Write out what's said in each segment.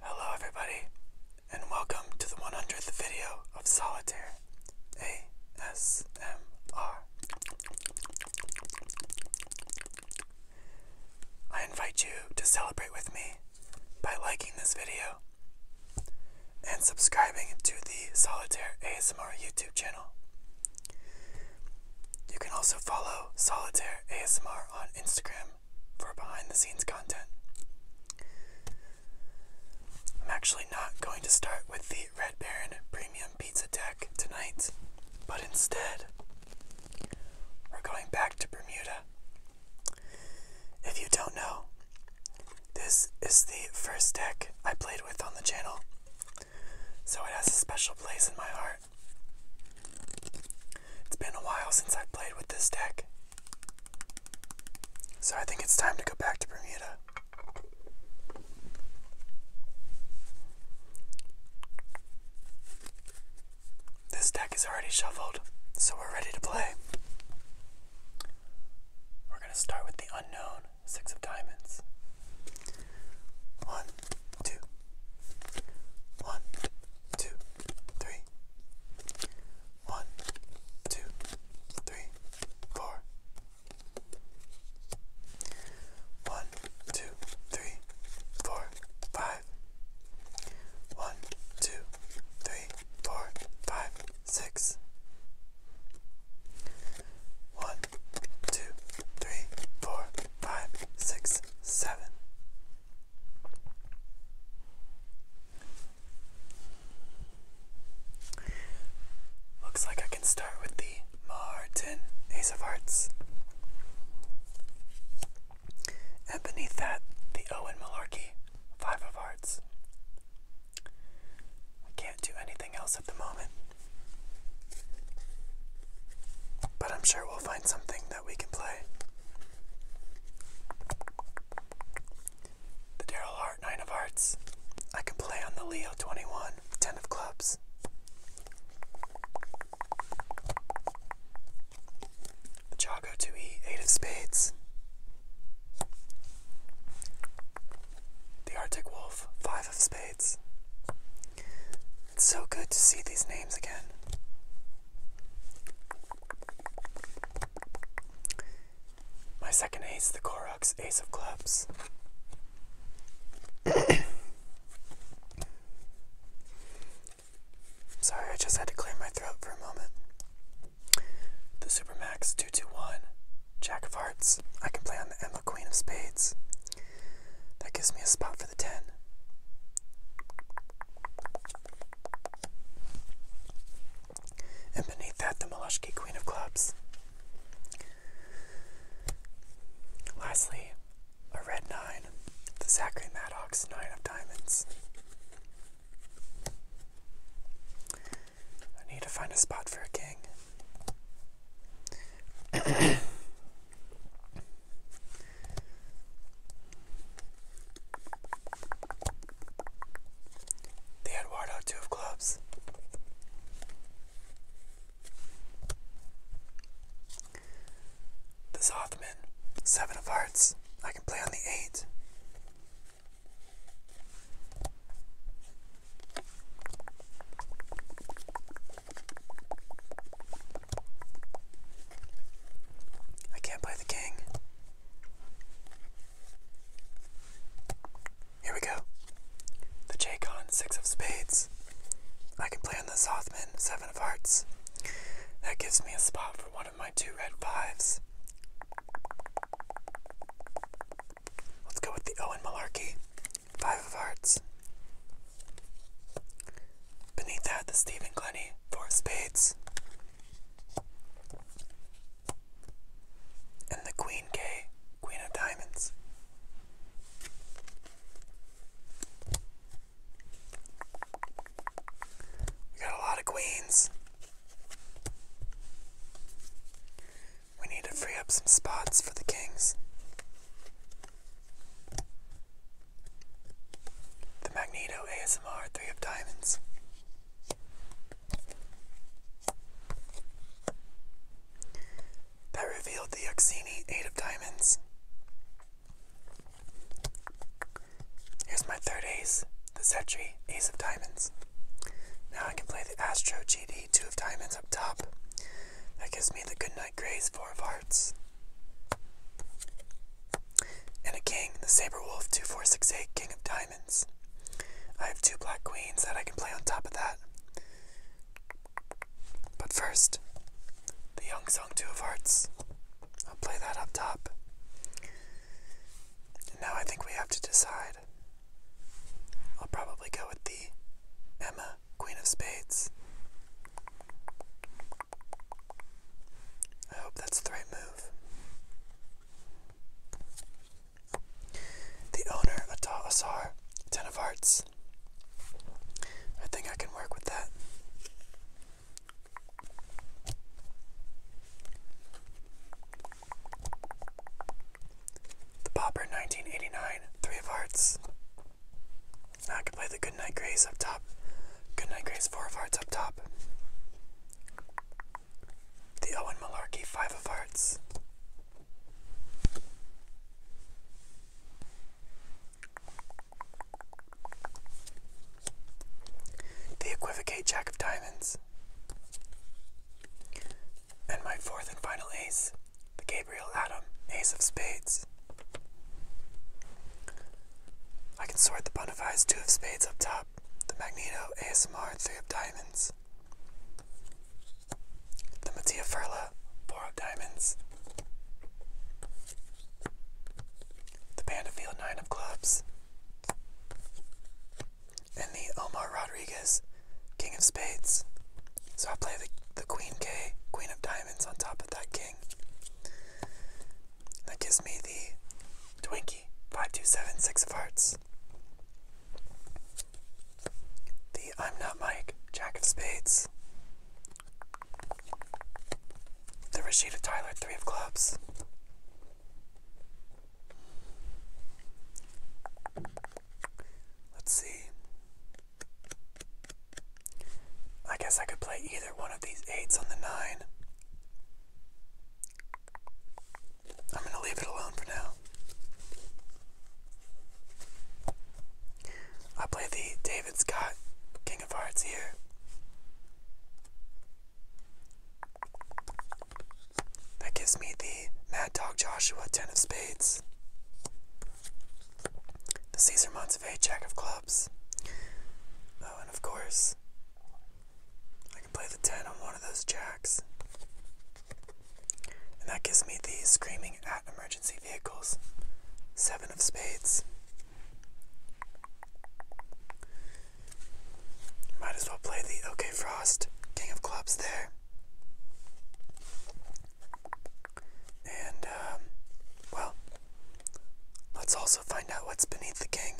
Hello everybody, and welcome to the 100th video of Solitaire ASMR. I invite you to celebrate with me by liking this video and subscribing to the Solitaire ASMR YouTube channel. You can also follow Solitaire ASMR on Instagram for behind the scenes content. I'm actually not going to start with the Red Baron Premium Pizza Deck tonight, but instead, we're going back to Bermuda. If you don't know, this is the first deck I played with on the channel, so it has a special place in my heart. It's been a while since I've played with this deck. So I think it's time to go back to Bermuda. This deck is already shuffled, so we're ready to play. We're going to start with the unknown Six of Diamonds. One, two. One, two three. One, two, three, five. One, two, three, four, five, six. One, two, three, four, five, six, seven. Looks like I can start with the Martin Ace of Hearts. And beneath that, the Owen Malarkey Five of Hearts. I can't do anything else at the moment. But I'm sure we'll find something we can play. The Daryl Hart, 9 of Hearts. I can play on the Leo 21, 10 of Clubs. The Jago 2E, 8 of Spades. The Arctic Wolf, 5 of Spades. It's so good to see these names again. My second ace, is the Koroks, ace of clubs. Sorry, I just had to clear my throat for a moment. The super max 221, Jack of Hearts. I can play on the Emma Queen of Spades. That gives me a spot for the 10. And beneath that, the Moleskine Queen of Clubs. Lastly, a red 9, the Zachary Maddox 9 of Diamonds. I need to find a spot for a king. The had Eduardo two of clubs. This Hoffman, seven of hearts. I can play on the eight. I can't play the king. Here we go. The Jacon, six of spades. I can play on the Southman seven of hearts. That gives me a spot for one of my two red fives. Let's go with the Owen Malarkey, five of hearts. Beneath that, the Stephen Glennie, four spades. And the queen K, queen of diamonds. We got a lot of queens. We need to free up some spots for the kings. The Magneto ASMR Three of Diamonds. That revealed the Yuxini Eight of Diamonds. Here's my third ace, the Zetri Ace of Diamonds. Now I can play the Astro GD Two of Diamonds up top. That gives me the Goodnight Grace Four of Hearts. And a king, the Saber Wolf 2468, King of Diamonds. I have two black queens that I can play on top of that. But first, the Young Song Two of Hearts. I'll play that up top. now I think we have to decide. I'll probably go with the Emma, Queen of Spades. I hope that's the move. The owner, Ata Asar, Ten of Hearts. I think I can work with that. The Popper 1989, Three of Hearts. I can play the Goodnight Grace up top. Goodnight Grace, 4 of Hearts up top. The Owen Malarkey, 5 of Hearts. The Equivocate Jack of Diamonds. And my fourth and final ace, the Gabriel Adam, Ace of Spades. I can sort the Bonafide's two of spades up top, the Magneto ASMR three of diamonds, the Mattia Furla four of diamonds, the Bandafield nine of clubs, and the Omar Rodriguez king of spades. So I play the, the Queen K, Queen of diamonds on top of that king. That gives me the Twinkie five two seven six of Hearts. The I'm Not Mike Jack of Spades. The Rashida Tyler Three of Clubs. Let's see. I guess I could play either one of these eights on the nine. I'm going to leave it alone for now. I play the David Scott King of Hearts here. That gives me the Mad Dog Joshua Ten of Spades. The Caesar Montevideo Jack of Clubs. Oh, and of course, I can play the 10 on one of those jacks. And that gives me the screaming at emergency vehicles. Seven of spades. Might as well play the OK Frost, King of Clubs there. And, um, well, Let's also find out what's beneath the king.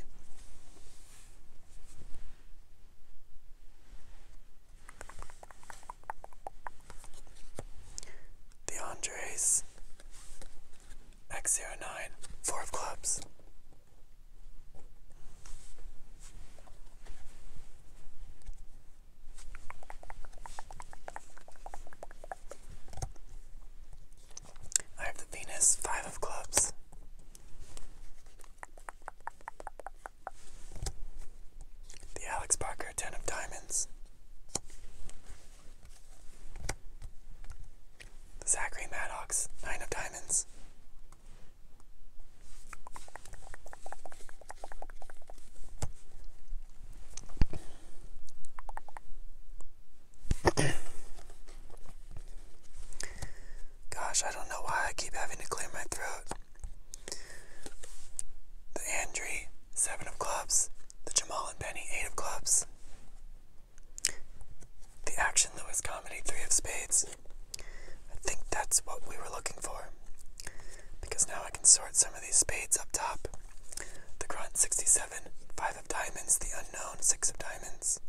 The Andres X09, of clubs. I have the Venus, five of clubs. The Alex Parker, ten of diamonds. The Zachary Maddox, nine of diamonds. Gosh, I don't know why I keep having to clear my throat. The Andri, seven of clubs. The Jamal and Penny, eight of clubs. The Action Lewis comedy, three of spades. I think that's what we were looking for. Because now I can sort some of these spades up top. The Grunt, 67, five Diamonds, The Unknown, Six of Diamonds,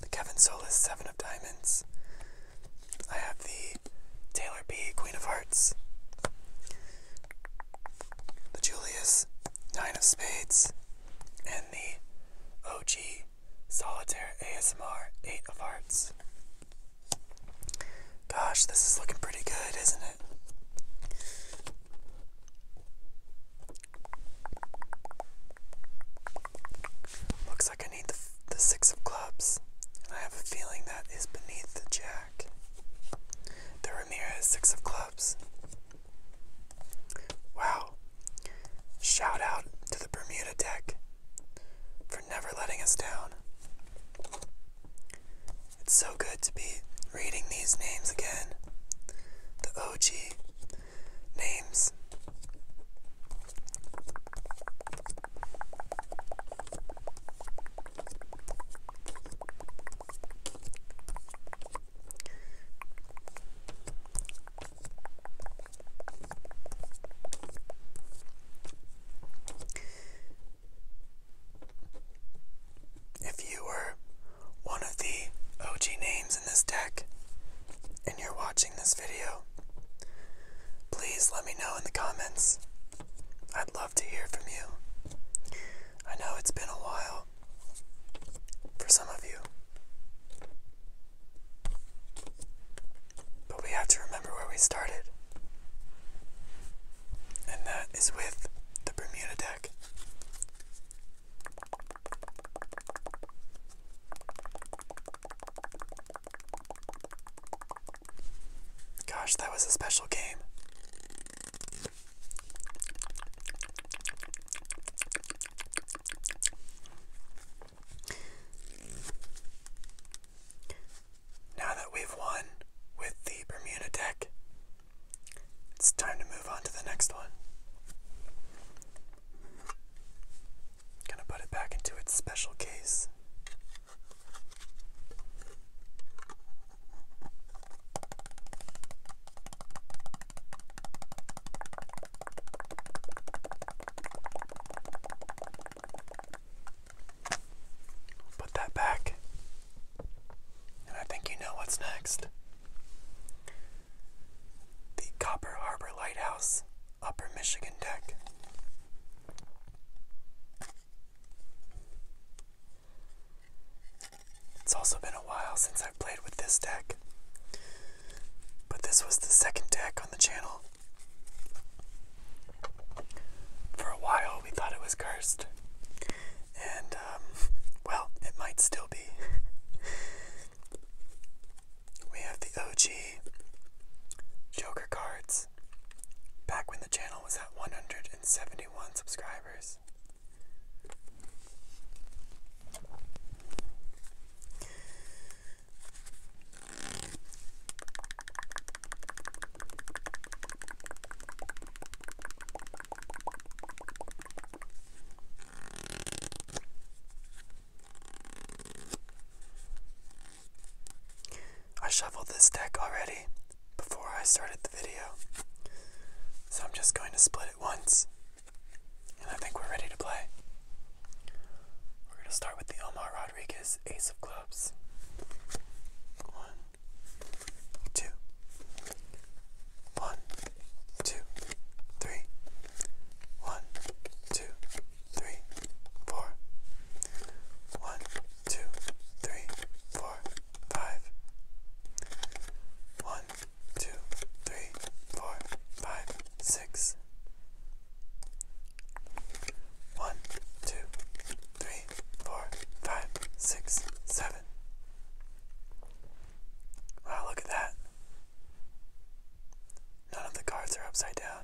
the Kevin Solis, Seven of Diamonds. I have the Taylor P Queen of Hearts, the Julius, Nine of Spades, and the OG Solitaire ASMR, Eight of Hearts. Gosh, this is looking pretty good, isn't it? Looks like I need the, the six of clubs, and I have a feeling that is beneath the jack. The Ramirez six of clubs. Wow. Shout out to the Bermuda deck for never letting us down. It's so good to be reading these names again. The OG names if you were one of the OG names in this deck and you're watching this video, please let me know in the comments. I'd love to hear from you. I know it's been a while for some of you. But we have to remember where we started. And that is with the Bermuda deck. Gosh, that was a special game. Now that we've won with the Bermuda deck, it's time to move on to the next one. Gonna put it back into its special case. Put that back. And I think you know what's next the Copper Harbor Lighthouse, Upper Michigan Deck. It's also been a while since I've played with this deck, but this was the second deck on the channel. For a while, we thought it was cursed, and um, well, it might still be. we have the OG Joker cards back when the channel was at 171 subscribers. I shuffled this deck already before I started the video, so I'm just going to split it once, and I think we're ready to play. We're going to start with the Omar Rodriguez Ace of Clubs. One, two, one, two, three. One, two, three, four. One, two, three, four, five. One, two, three, four, five, six. One, two, three, four, five, six, seven. Wow, look at that. None of the cards are upside down.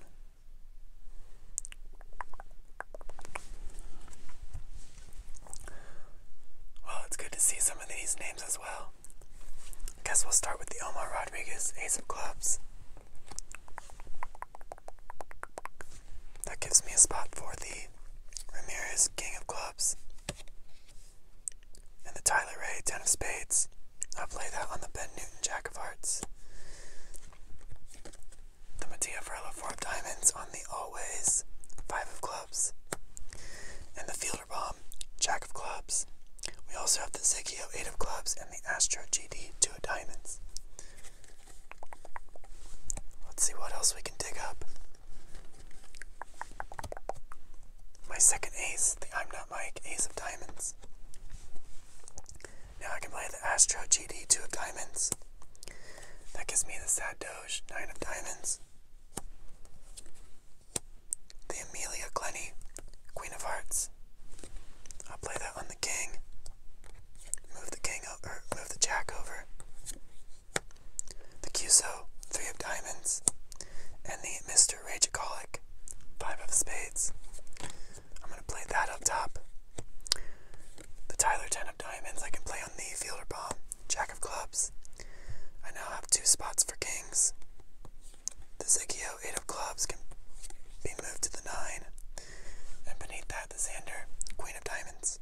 Well, it's good to see some of these names as well. guess we'll start with the Omar Rodriguez Ace of Clubs. That gives me a spot for the Ramirez King of Clubs. And the Tyler Ray Ten of Spades. I'll play that on the Ben Newton Jack of Hearts. The Mattia Ferlo Four of Diamonds on the Always Five of Clubs. And the Fielder Bomb Jack of Clubs. We also have the Zigio Eight of Clubs and the Astro GD Two of Diamonds. Let's see what else we can dig up. My second ace, the I'm Not Mike Ace of Diamonds. Now I can play the Astro GD Two of Diamonds. That gives me the Sad Doge Nine of Diamonds. The Amelia Glenny Queen of Hearts. I'll play that on the King. Move the King over, move the Jack over the Cuso, three of diamonds, and the Mr. Rageaholic, five of spades. I'm going to play that up top. The Tyler, ten of diamonds, I can play on the fielder bomb, jack of clubs. I now have two spots for kings. The Zigio, eight of clubs, can be moved to the nine. And beneath that, the Xander, queen of diamonds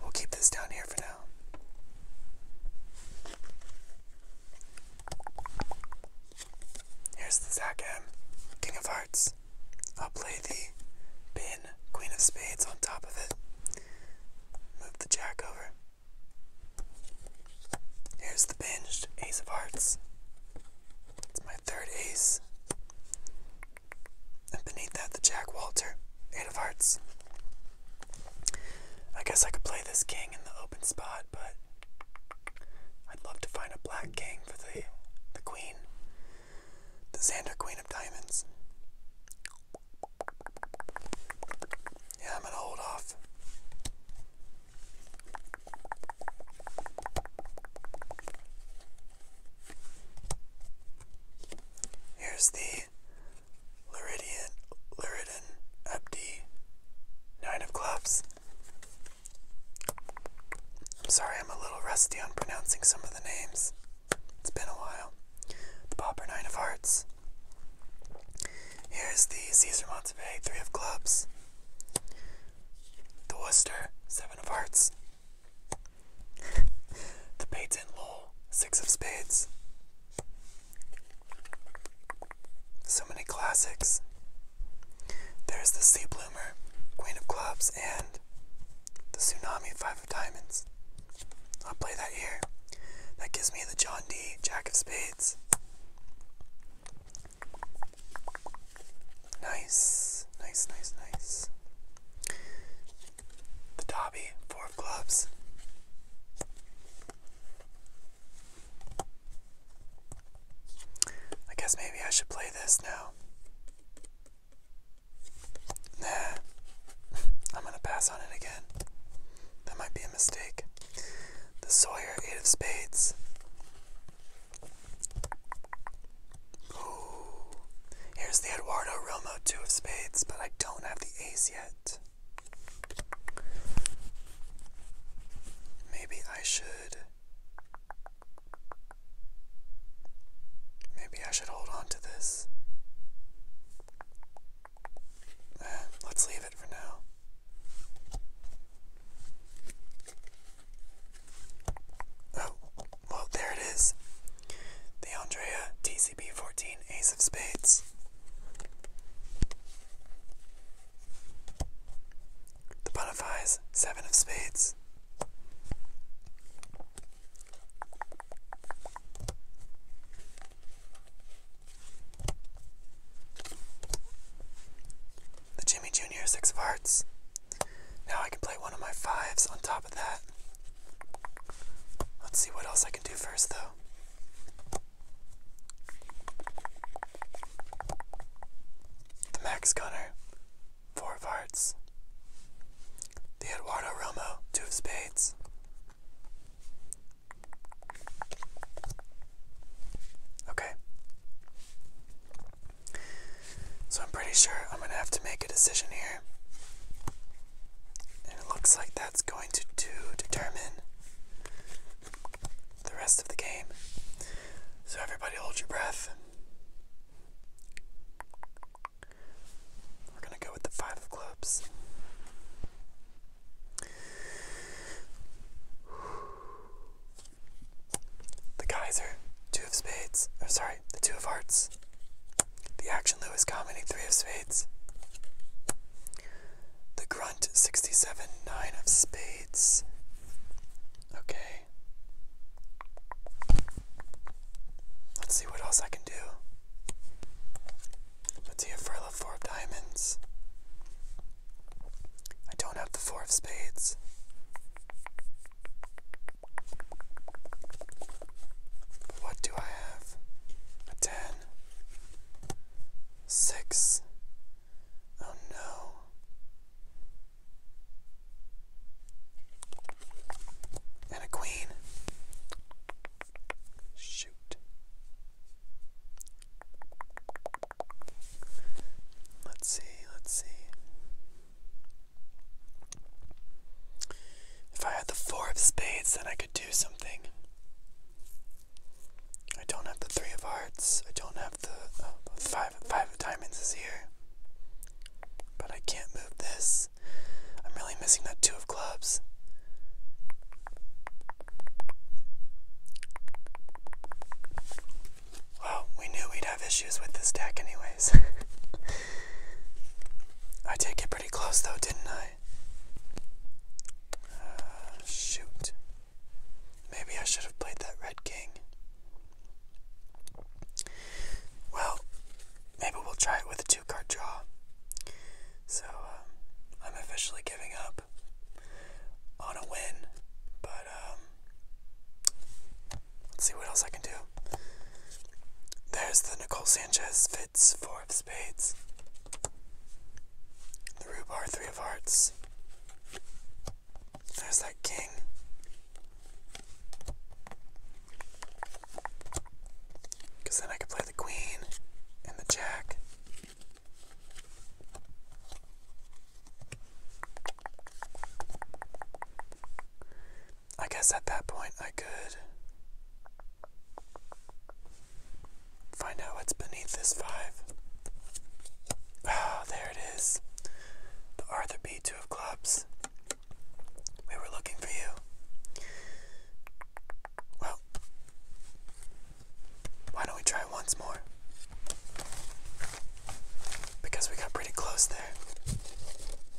we'll keep this down here for now. Here's the Zac M, King of Hearts. I'll play the pin, Queen of Spades on top of it. Move the jack over. Here's the binged Ace of Hearts. It's my third ace. And beneath that, the Jack Walter, Eight of Hearts. I guess I could play this king in the open spot, but I'd love to find a black king for the, the queen. The Xander Queen of Diamonds. Yeah, I'm gonna hold off. Here's the Luridian, Luridin Abdi Nine of Clubs. I'm sorry, I'm a little rusty on pronouncing some of the names. It's been a while. The Pauper Nine of Hearts. Here's the Caesar Montevey Three of Clubs. The Worcester Seven of Hearts. the spades and Six of spades. So many classics. There's the sea bloomer, queen of clubs, and the tsunami, five of diamonds. I'll play that here. That gives me the John D, jack of spades. Nice, nice, nice, nice. The Dobby, four of clubs. I guess maybe I should play this now. Nah, I'm gonna pass on it again. That might be a mistake. The Sawyer, eight of spades. here's the Eduardo Romo two of spades, but I don't have the ace yet. Maybe I should. Maybe I should hold on to this. Eh, let's leave it for now. Oh, well, there it is. The Andrea TCB14 Ace of Spades. The Bonifaz Seven of Spades. The Jimmy Jr. Six of Hearts. Now I can play one of my fives on top of that. Let's see what else I can do first, though. The Max Gunner, four of hearts. The Eduardo Romo, two of spades. Okay. So I'm pretty sure I'm going to have to make a decision here. And it looks like that's going to, determine the rest of the game. So everybody hold your breath. We're going to go with the five of clubs. The Kaiser, two of spades, I'm sorry, the two of hearts, the action Lewis comedy, three of spades, the grunt, 67, nine of spades. Okay. Let's see what else I can do. Let's see if I have four of diamonds. I don't have the four of spades. What do I have? A ten? Six? Oh no. And a queen. Shoot. Let's see, let's see. If I had the four of spades, then I could do something. I don't have the three of hearts. I don't have the uh, five. Five of diamonds is here, but I can't move this. I'm really missing that two of clubs. Well, we knew we'd have issues with this deck, anyways. I did get pretty close though, didn't I? Uh, shoot. Maybe I should have played that Red King. Well, maybe we'll try it with a two card draw. So, um, I'm officially giving up on a win, but um, let's see what else I can do. There's the Nicole Sanchez fits four of spades. The Rubar three of hearts. There's that king. Because then I could play the queen and the jack. I guess at that point I could find out what's beneath this five. Ah, there it is. The Arthur B. Two of Clubs. We were looking for you. Well, why don't we try once more? Because we got pretty close there.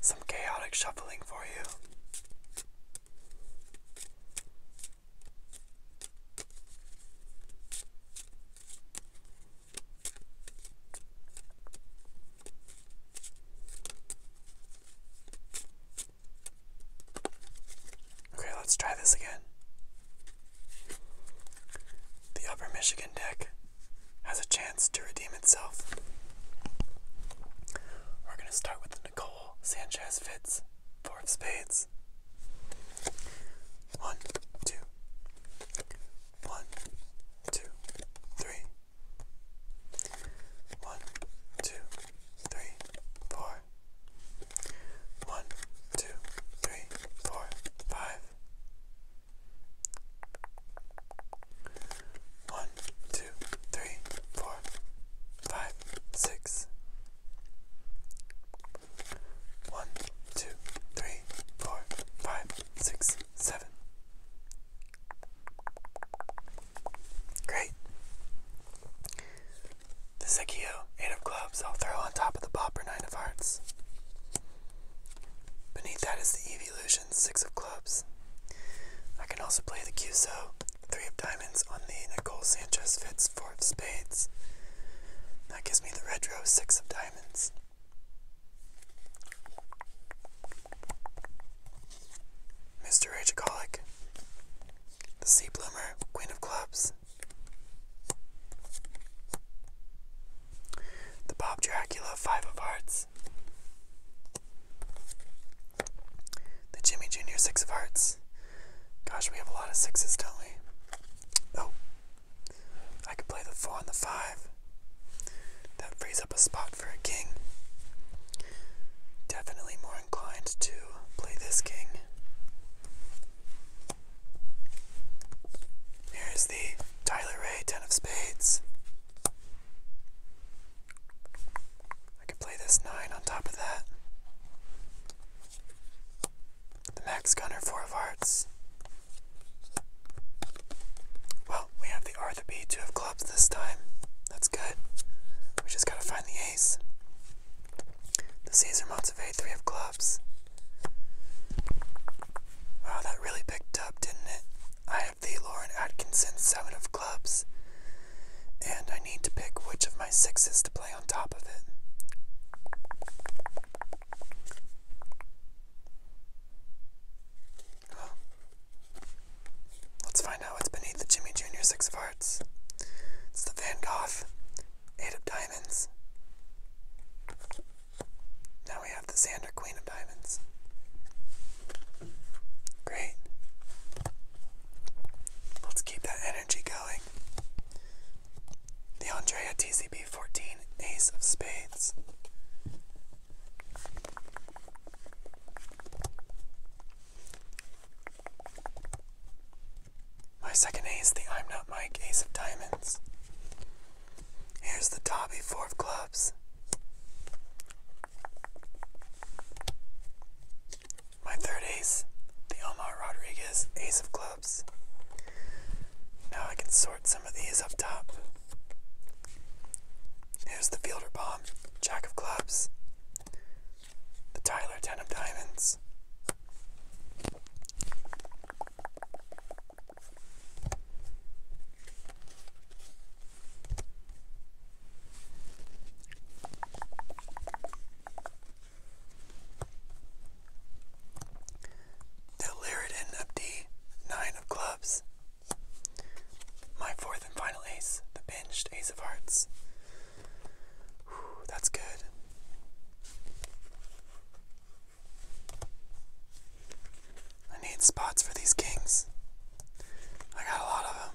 Some chaotic shuffling for you. Okay, let's try this again. The Upper Michigan deck has a chance to redeem itself. We're going to start with Nicole Sanchez Fitz, Four of Spades. One, two, one, two, three. One, two, three, four. One, two, three, four, five. One, two, three, four, five, six. One, two, three, four, five, six seven. Great. The Zekio, eight of clubs, I'll throw on top of the popper nine of hearts. Beneath that is the Evolution, six of clubs. I can also play the Qso three of diamonds on the Nicole Sanchez Fitz, four of spades. That gives me the red row, six of diamonds. Mr. Rageaholic, the Sea Bloomer, Queen of Clubs, the Bob Dracula, Five of Hearts, the Jimmy Jr., Six of Hearts. Gosh, we have a lot of sixes, don't we? Oh, I could play the 4 and the 5. That frees up a spot for a king. Definitely more inclined to play this king. Here's the Tyler Ray 10 of spades. I could play this 9 on top of that. The Max Gunner 4 of hearts. Well, we have the R, the B, two of clubs this time. That's good. We just gotta find the ace. The Caesar months of three of clubs. Wow, that really picked up, didn't it? I have the Lauren Atkinson, seven of clubs. And I need to pick which of my sixes to play on top of it. Let's find out what's beneath the Jimmy Jr. Six of Hearts. It's the Van Gogh, Eight of Diamonds. Now we have the Xander Queen of Diamonds. Great. Let's keep that energy going. The Andrea TCB 14 Ace of Spades. My second ace, the I'm Not Mike Ace of Diamonds. Here's the Dobby Four of Clubs. My third ace, the Omar Rodriguez Ace of Clubs. Now I can sort some of these up top. Here's the Fielder Bomb, Jack of Clubs, the Tyler Ten of Diamonds. The Lyridon of D, Nine of Clubs, my fourth and final ace, the pinched ace of hearts. that's good. I need spots for these kings. I got a lot of them.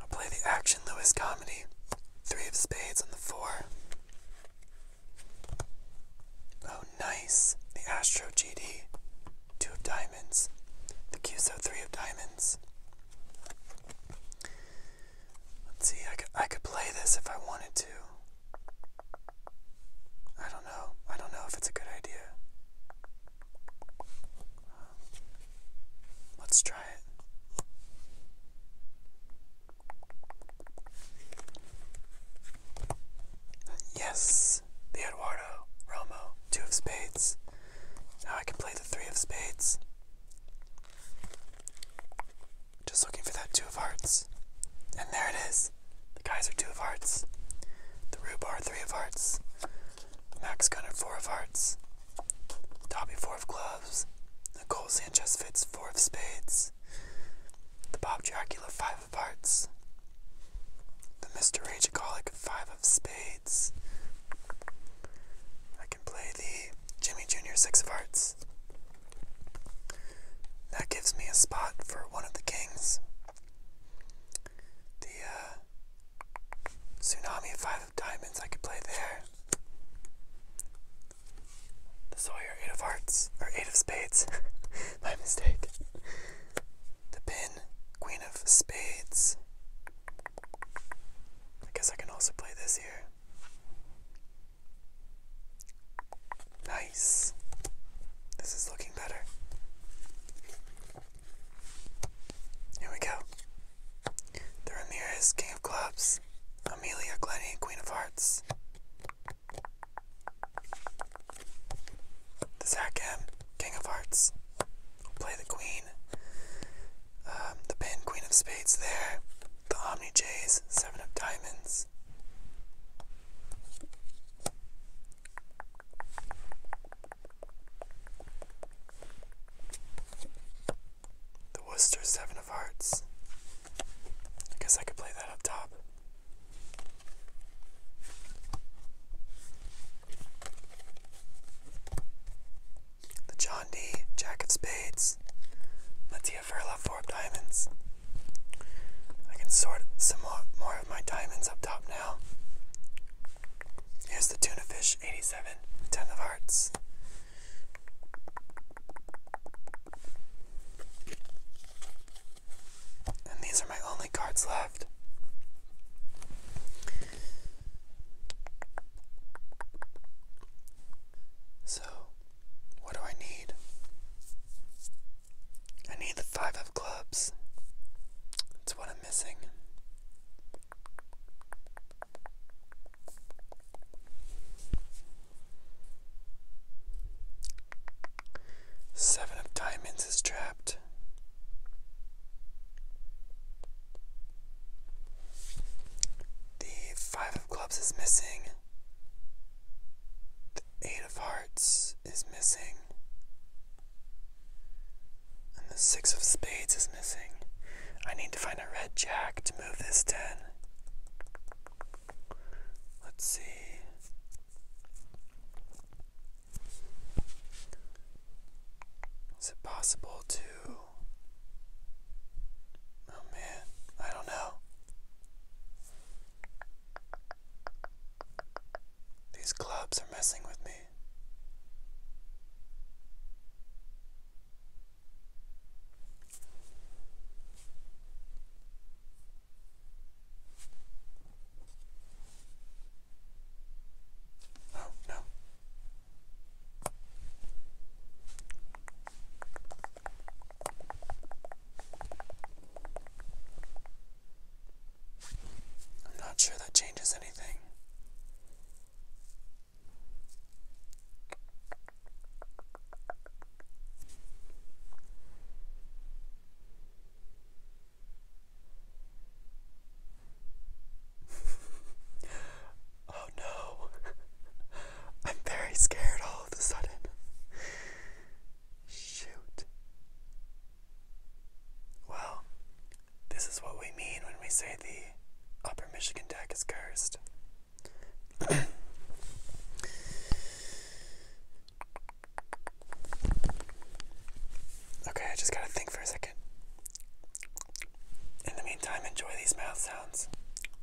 I'll play the action Lewis comedy. Three of spades on the four. Oh, nice. The Astro GD. Two of diamonds. The QSO three of diamonds. Let's see, I could, I could play this if I wanted to. I don't know. I don't know if it's a good idea. Um, let's try it. Yes, the Eduardo, Romo, two of spades. Now I can play the three of spades. Just looking for that two of hearts. And there it is. The guys are two of hearts. The Rubar, three of hearts. Max Gunner, four of hearts. Dobby, four of clubs. Nicole Sanchez fits four of spades. The Bob Dracula, five of hearts. The Mr. Rageaholic, five of spades. I can play the Jimmy Jr., six of hearts. That gives me a spot for one of the kings. The uh, Tsunami Five of Diamonds I could play there. The Sawyer Eight of Hearts, or Eight of Spades. My mistake. The Pin, Queen of Spades. I guess I can also play this here. Nice. This is looking better. Here we go. The Ramirez, King of Clubs. Amelia Glenny, Queen of Hearts. The Zakham, King of Hearts. play the Queen. Um, the Pin, Queen of Spades there. The Omni Jays, Seven of Diamonds. The Worcester Seven of Hearts. I guess I could play that up top. The John D. Jack of Spades. Let's plenty of diamonds. I can sort some more, of my diamonds up top now. Here's the tuna fish 87, 10 of hearts. And these are my only cards left. So what do I need? I need the five of clubs. That's what I'm missing. Seven of diamonds is trapped. The five of clubs is missing. Eight of Hearts is missing. And the Six of Spades is missing. I need to find a red jack to move this 10. Let's see. Is it possible to. Oh man, I don't know. These clubs are messing with me. Oh, no. I'm not sure that changes anything. oh no, I'm very scared all of a sudden. Shoot. Well, this is what we mean when we say the upper Michigan deck is cursed. okay, I just gotta think for a second. In the meantime, enjoy these mouth sounds.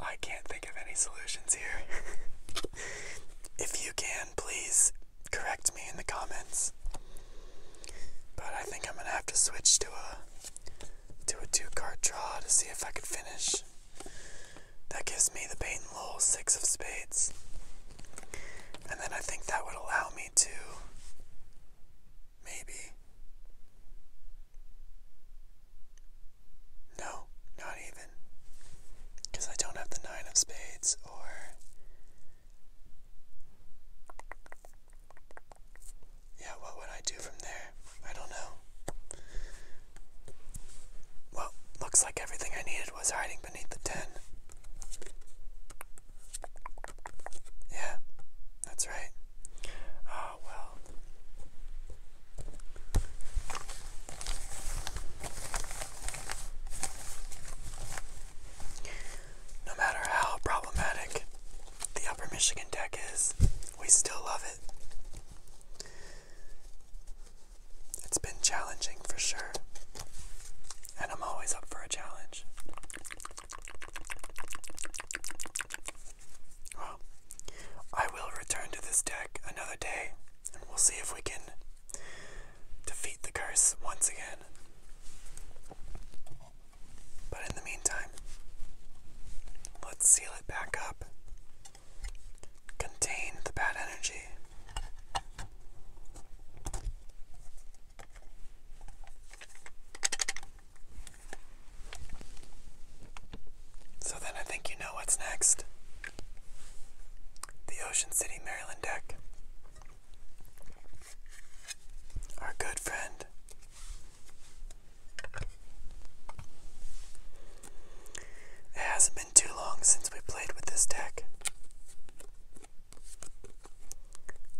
I can't think of any solutions here. if you can, please correct me in the comments. But I think I'm gonna have to switch to a to a two-card draw to see if I can finish. That gives me the Peyton Lowell six of spades. And then I think that would allow me to maybe. No, not even. Because I don't have the nine of spades or. Yeah, what would I do from there? I don't know. Well, looks like everything I needed was hiding beneath the tin. Yeah, that's right. oh, well. No matter how problematic the Upper Michigan deck is, we still love it. It's been challenging for sure. And I'm always up for a challenge. Well, I will return to this deck another day and we'll see if we can defeat the curse once again. But in the meantime, let's seal it back up Contain the bad energy. So then I think you know what's next. The Ocean City, Maryland deck. Our good friend. has it's been too long since we played with this deck.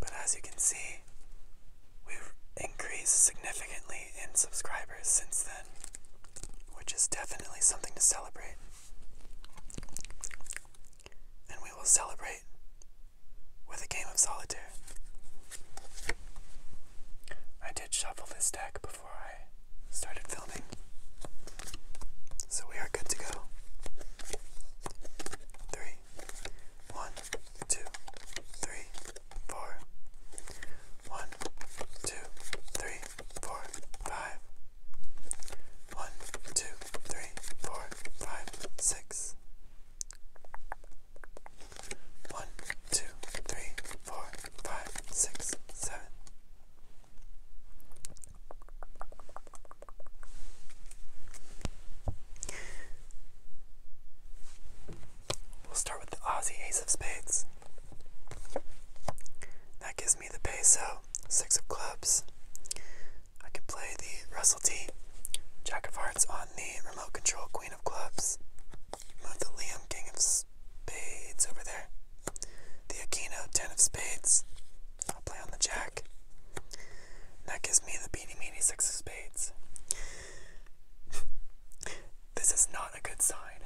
But as you can see, we've increased significantly in subscribers since then, which is definitely something to celebrate. And we will celebrate with a game of solitaire. I did shuffle this deck before before I started filming. So we are good to go. Three, one, two, three, four. One, two, three, four, five. One, two, three, four, five, six. One, two, three, four, five, six, seven. We'll start with the Aussie Ace of Spades. That gives me the peso, six of clubs. I can play the Russell T, Jack of Hearts on the remote control, Queen of Clubs. Move the Liam, King of spades over there. The Akino ten of spades. I'll play on the jack. That gives me the beanie meenie six of spades. this is not a good sign.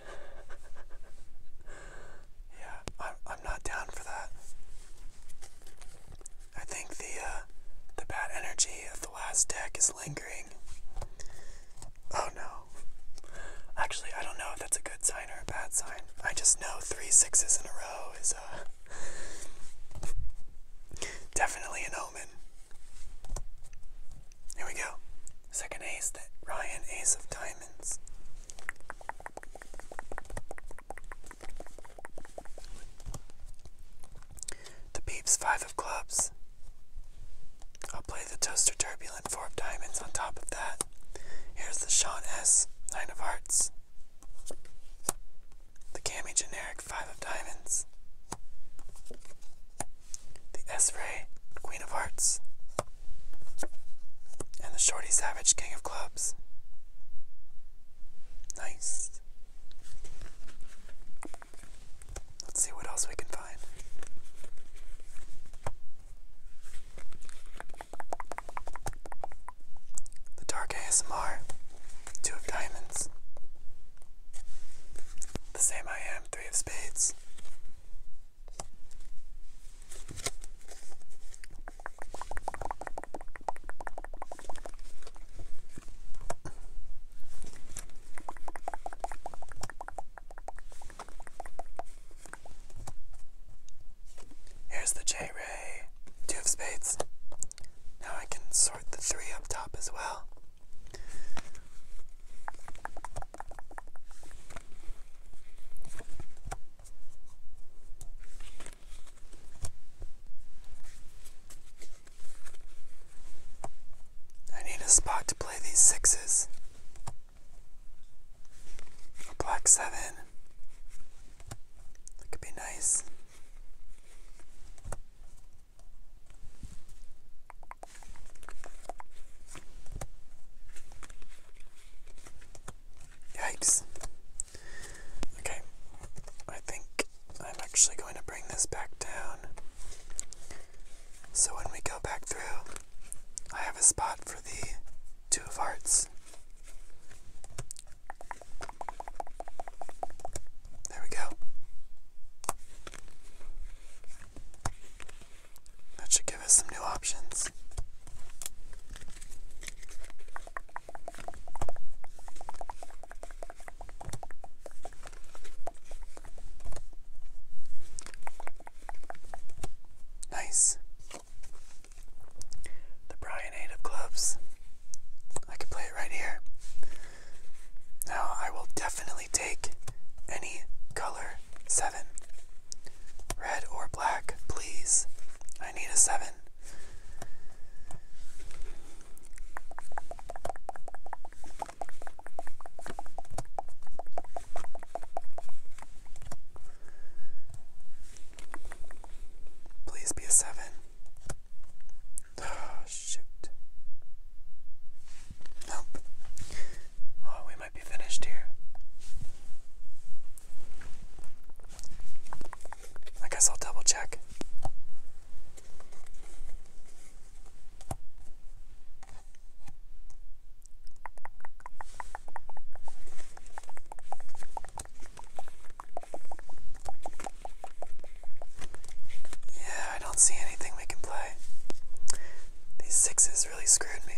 yeah, I'm, I'm not down for that. I think the uh, the bad energy of the last deck is lingering. Oh no. Actually, I don't know if that's a good sign or a bad sign. I just know three sixes in a row is uh, definitely an omen. Here we go. Second ace that Ryan, ace of diamonds. The peeps, five of clubs. I'll play the toaster turbulent, four of diamonds on top of that. Here's the Sean S, nine of hearts. The Cami generic, five of diamonds. The S Ray, queen of hearts. And the Shorty Savage, king of clubs. Nice. Let's see what else we can find. The Dark ASMR, Two of Diamonds. The Same I Am, Three of Spades. Here's the J Ray. Two of spades. Now I can sort the three up top as well. I need a spot to play these sixes. A black seven. That could be nice. Yikes. Okay, I think I'm actually going to bring this back down. So when we go back through, I have a spot for the Two of Hearts. There we go. That should give us some new options. Nice. The Brian Eight of Clubs. I could play it right here. Now I will definitely take any color seven. Red or black, please. I need a seven. Please be a seven. Oh, shoot. Nope. Oh, we might be finished here. I guess I'll double check. Yeah, I don't see anything we can play. These sixes really screwed me.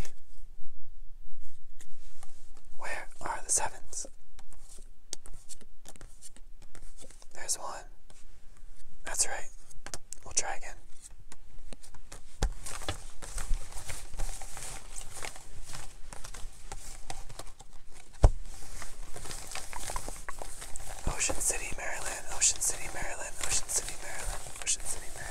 Where are the sevens? There's one. That's right. We'll try again. Ocean City, Maryland, Ocean City, Maryland, Ocean City, Maryland, Ocean City, Maryland.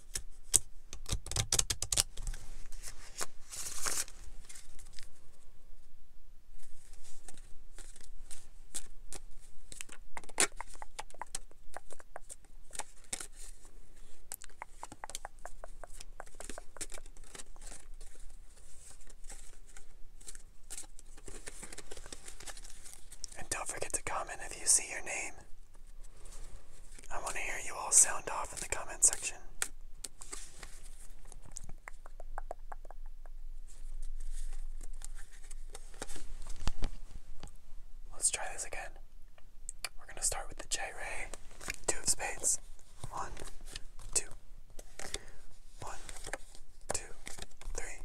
And don't forget to comment if you see your name. I want to hear you all sound off in the comment section. Let's try this again. We're going to start with the J Ray, two of spades. One, two, three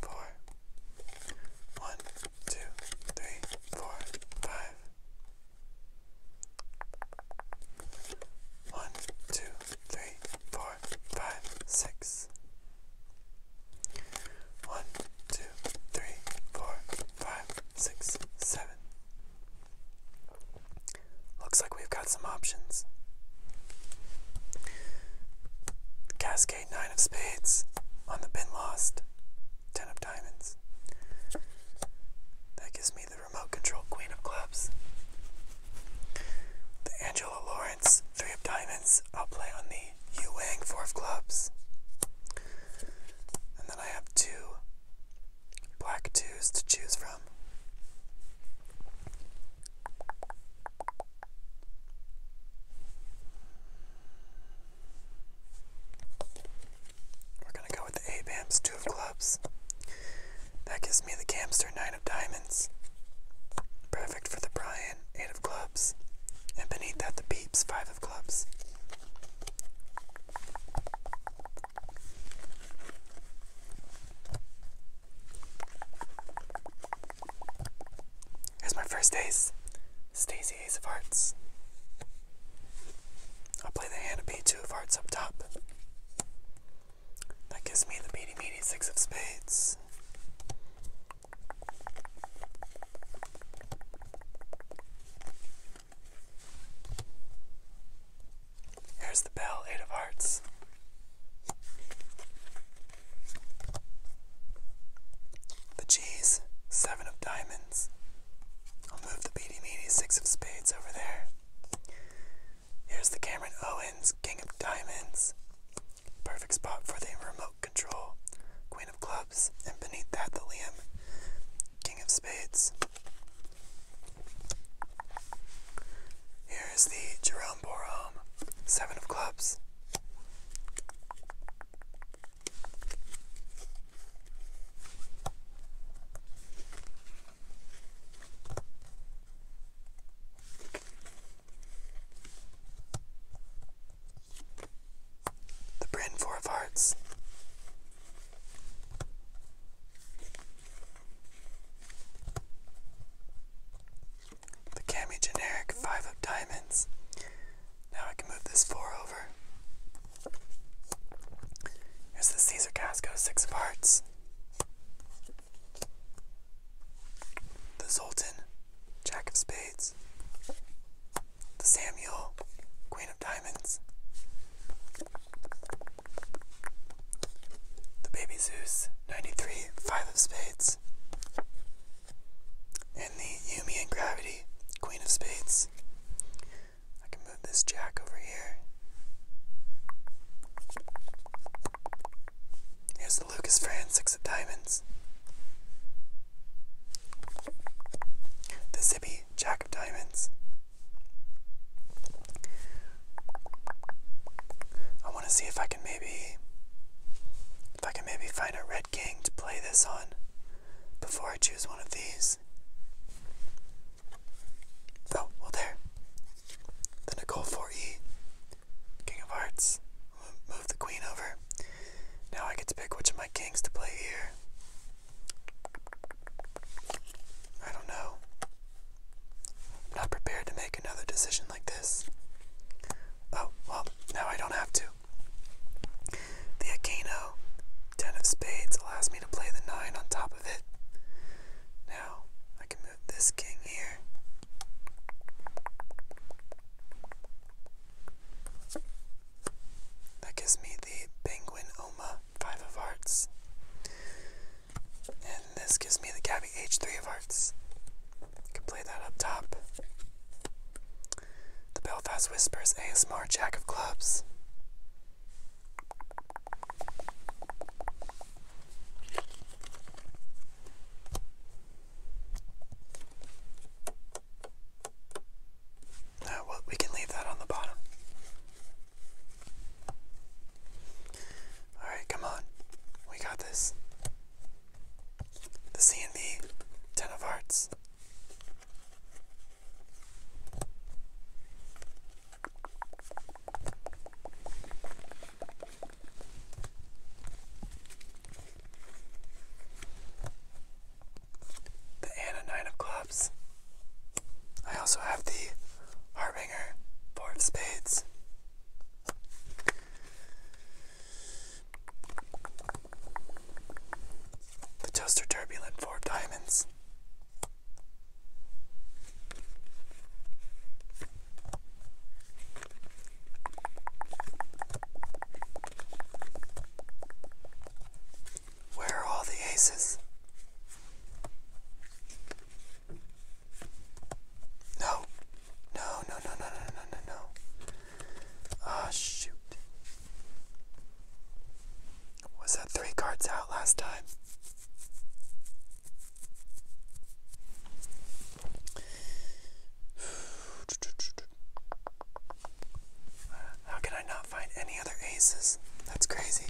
four. One, two, three, four, five, six. One, two, three, four, five, six, seven. Looks like we've got some options. Gas nine of spades on the pin lost. Ten of diamonds. That gives me the remote control queen of clubs. The Angela Lawrence three of diamonds. I'll play on the Yu Wang four of clubs. And then I have two black twos to choose from. We're gonna go with the 8 of clubs. That gives me the Camster, 9 of diamonds. Perfect for the Brian, 8 of clubs. And beneath that, the beeps 5 of clubs. Here's my first ace, Stacy Ace of Hearts. I'll play the Hannah of 2 of Hearts up top. That gives me the beady meaty Six of Spades. Here's the bell, Eight of Hearts. The G's, seven of diamonds. I'll move the beady meaty six of spades over there. Here's the Cameron Owens, king of diamonds. Perfect spot for the remote control, queen of clubs, and beneath that the Liam, king of spades. Here's the Jerome Borom, seven of clubs. The Brand Four of Hearts the Cami Generic 5 of Diamonds. Now I can move this 4 over. Here's the Caesar Casco 6 of Hearts. The Zoltan, Jack of Spades. The Samuel, Queen of Diamonds. The Baby Zeus, 93, 5 of Spades. And the Yumi and Gravity, Queen of Spades. I can move this jack over here. Here's the Lucas Fran, of Diamonds. The Zippy, Jack of Diamonds. I want to see if I can maybe if I can maybe find a red king to play this on before I choose one of these. Oh, well there. The Nicole 4E. King of Hearts. Move the queen over. Now I get to pick which of my kings to play here. I don't know. not prepared to make another decision like this. Oh, well, now I don't have to. The Akano, 10 of spades, allows me to play the 9 on top of it. Now, I can move this king here. That gives me the Penguin Oma, 5 of hearts. And this gives me the Gabby H3 of hearts. Could play that up top. The Belfast Whispers ASMR Jack of Clubs. Uh, well, we can leave that on the bottom. Alright, come on. We got this the CNB, Ten of Hearts. The Anna Nine of Clubs. I also have the Harbinger Four of Spades. The toaster Turbulent, four diamonds. Where are all the aces? No, no, no, no, no, no, no, no, no. Ah, oh, shoot. Was that three cards out last time? How can I not find any other aces? That's crazy.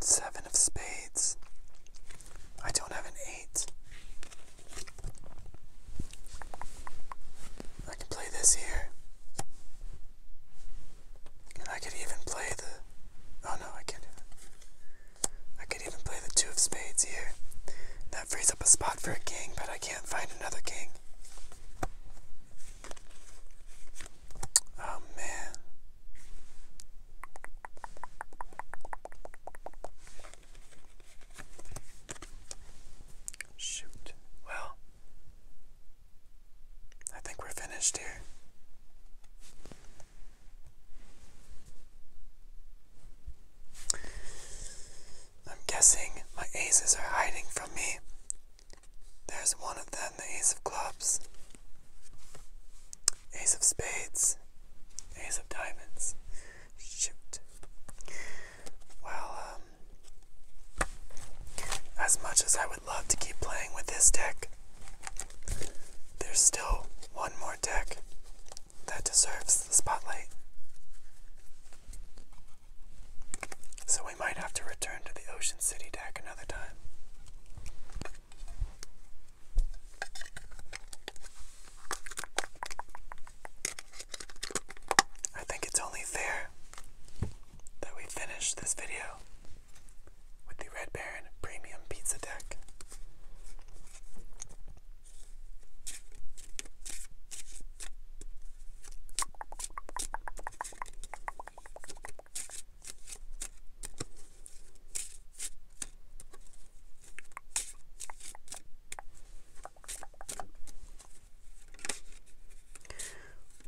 Seven of spades. I don't have an eight. I can play this here. And I could even play the. Oh no, I can't do I could even play the two of spades here. That frees up a spot for a king, but I can't find another king. Oh man. Shoot. Well, I think we're finished here. I'm guessing my aces are hiding from me there's one of them, the Ace of Clubs, Ace of Spades, Ace of Diamonds. Shoot. Well, um, as much as I would love to keep playing with this deck, there's still one more deck that deserves the spotlight. So we might have to return to the Ocean City deck another time. I think it's only fair that we finish this video with the Red Baron Premium Pizza Deck.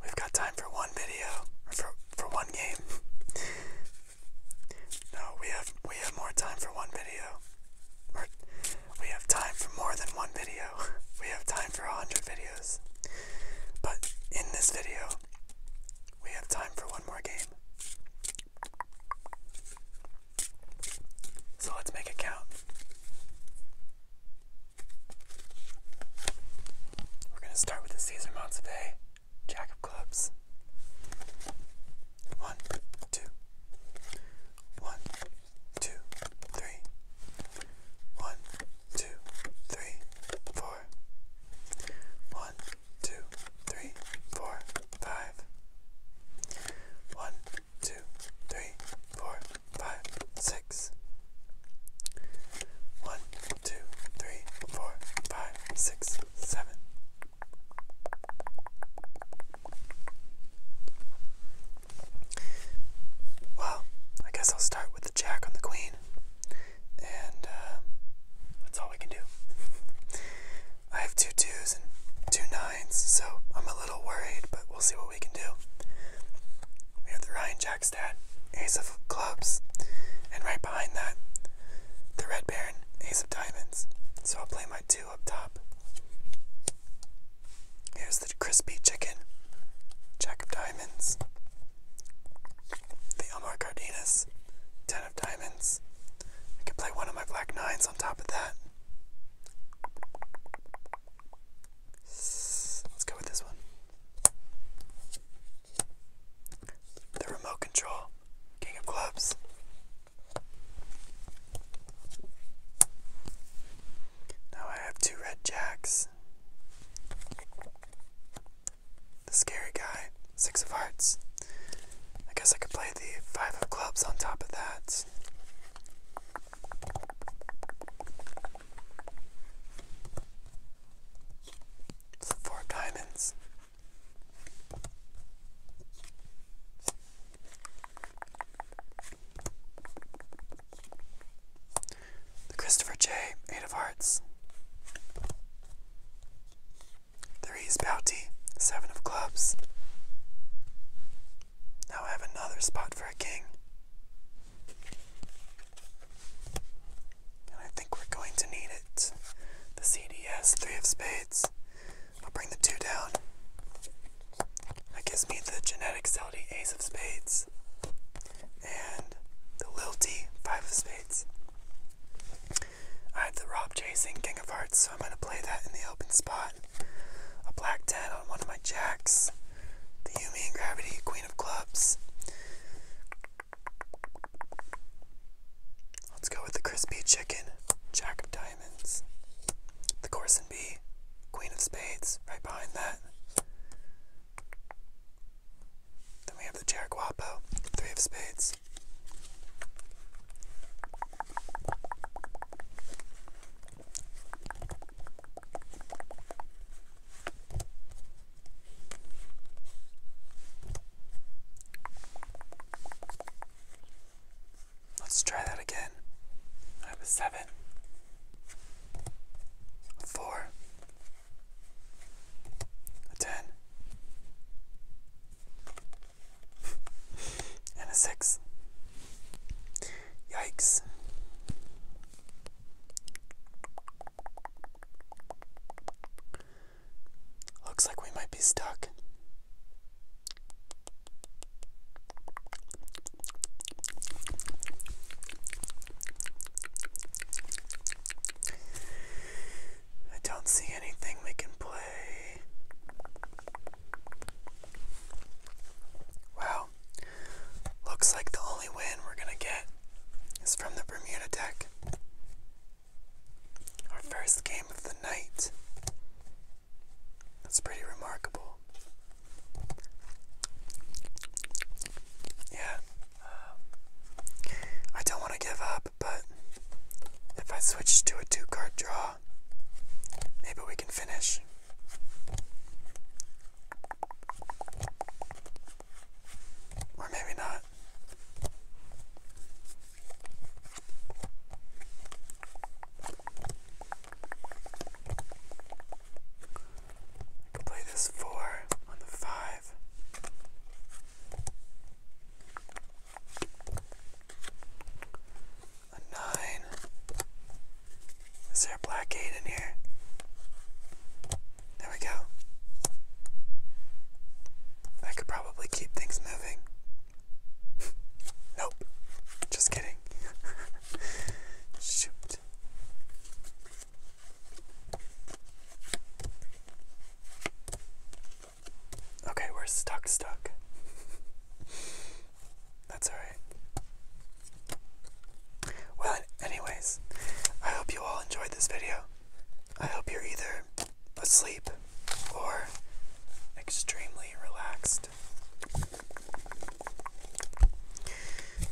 We've got time for one video, for for one game. no, we have we have more time for one video. Or we have time for more than one video. We have time for a hundred videos. But in this video, we have time for one more game. So let's make it count. We're going to start with the Caesar Montevideo Jack of Clubs. One, two, one, two, three, one, two, three, four. One, two, three, four, five. One, two, three, four, five, six. One, two, three, four, five, six, seven. Well, I guess I'll start with the jack on the queen and uh, that's all we can do. I have two twos and two nines, so I'm a little worried, but we'll see what we can do. We have the Ryan Jacks, Dad, ace of clubs, and right behind that, the Red Baron, ace of diamonds. So I'll play my two up top. Here's the crispy chicken, jack of diamonds, the Elmar Cardenas, 10 of diamonds. I could play one of my black nines on top of that. Let's go with this one. The remote control, king of clubs. Now I have two red jacks the scary guy, six of hearts. I guess I could play the five of clubs on top of that. So four of diamonds. The Christopher J. Eight of Hearts. The Reese Bounty. Seven of Clubs. Now I have another spot for a king. And I think we're going to need it. The CDS, three of spades. I'll bring the two down. That gives me the genetic Celtic ace of spades and the little T, Five of Spades. I have the Rob Chasing, King of Hearts, so I'm going to play that in the open spot. A Black 10 on one of my jacks. The Yumi and Gravity, Queen of Clubs. Let's go with the Crispy Chicken, Jack of Diamonds. The Corson B, Queen of Spades, right behind that. Then we have the Jeriquapo, three of spades. Let's try that again. I have a seven, four, a 10, and a 6. Yikes. Looks like we might be stuck. I don't see anything we can play. Wow. Looks like the only win we're going to get is from the Bermuda deck. Our first game of the night. That's pretty remarkable. Yeah, I don't want to give up, but if I switch to a two card draw, maybe we can finish. Or maybe not play this four on the five. A nine. Is there a black eight in here? There we go. I could probably keep things moving. nope. Just kidding. Shoot. Okay, we're stuck, stuck. That's alright. Well, anyways, I hope you all enjoyed this video. I hope you're either asleep or extremely relaxed.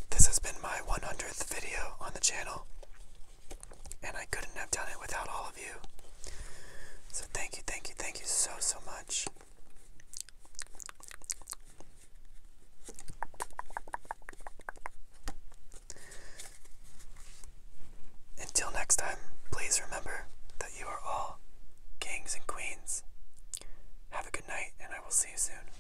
This has been my 100th video on the channel. And I couldn't have done it without all of you. So thank you, thank you, thank you so, so much. Until next time, please remember that you are all kings and queens. Have a good night, and I will see you soon.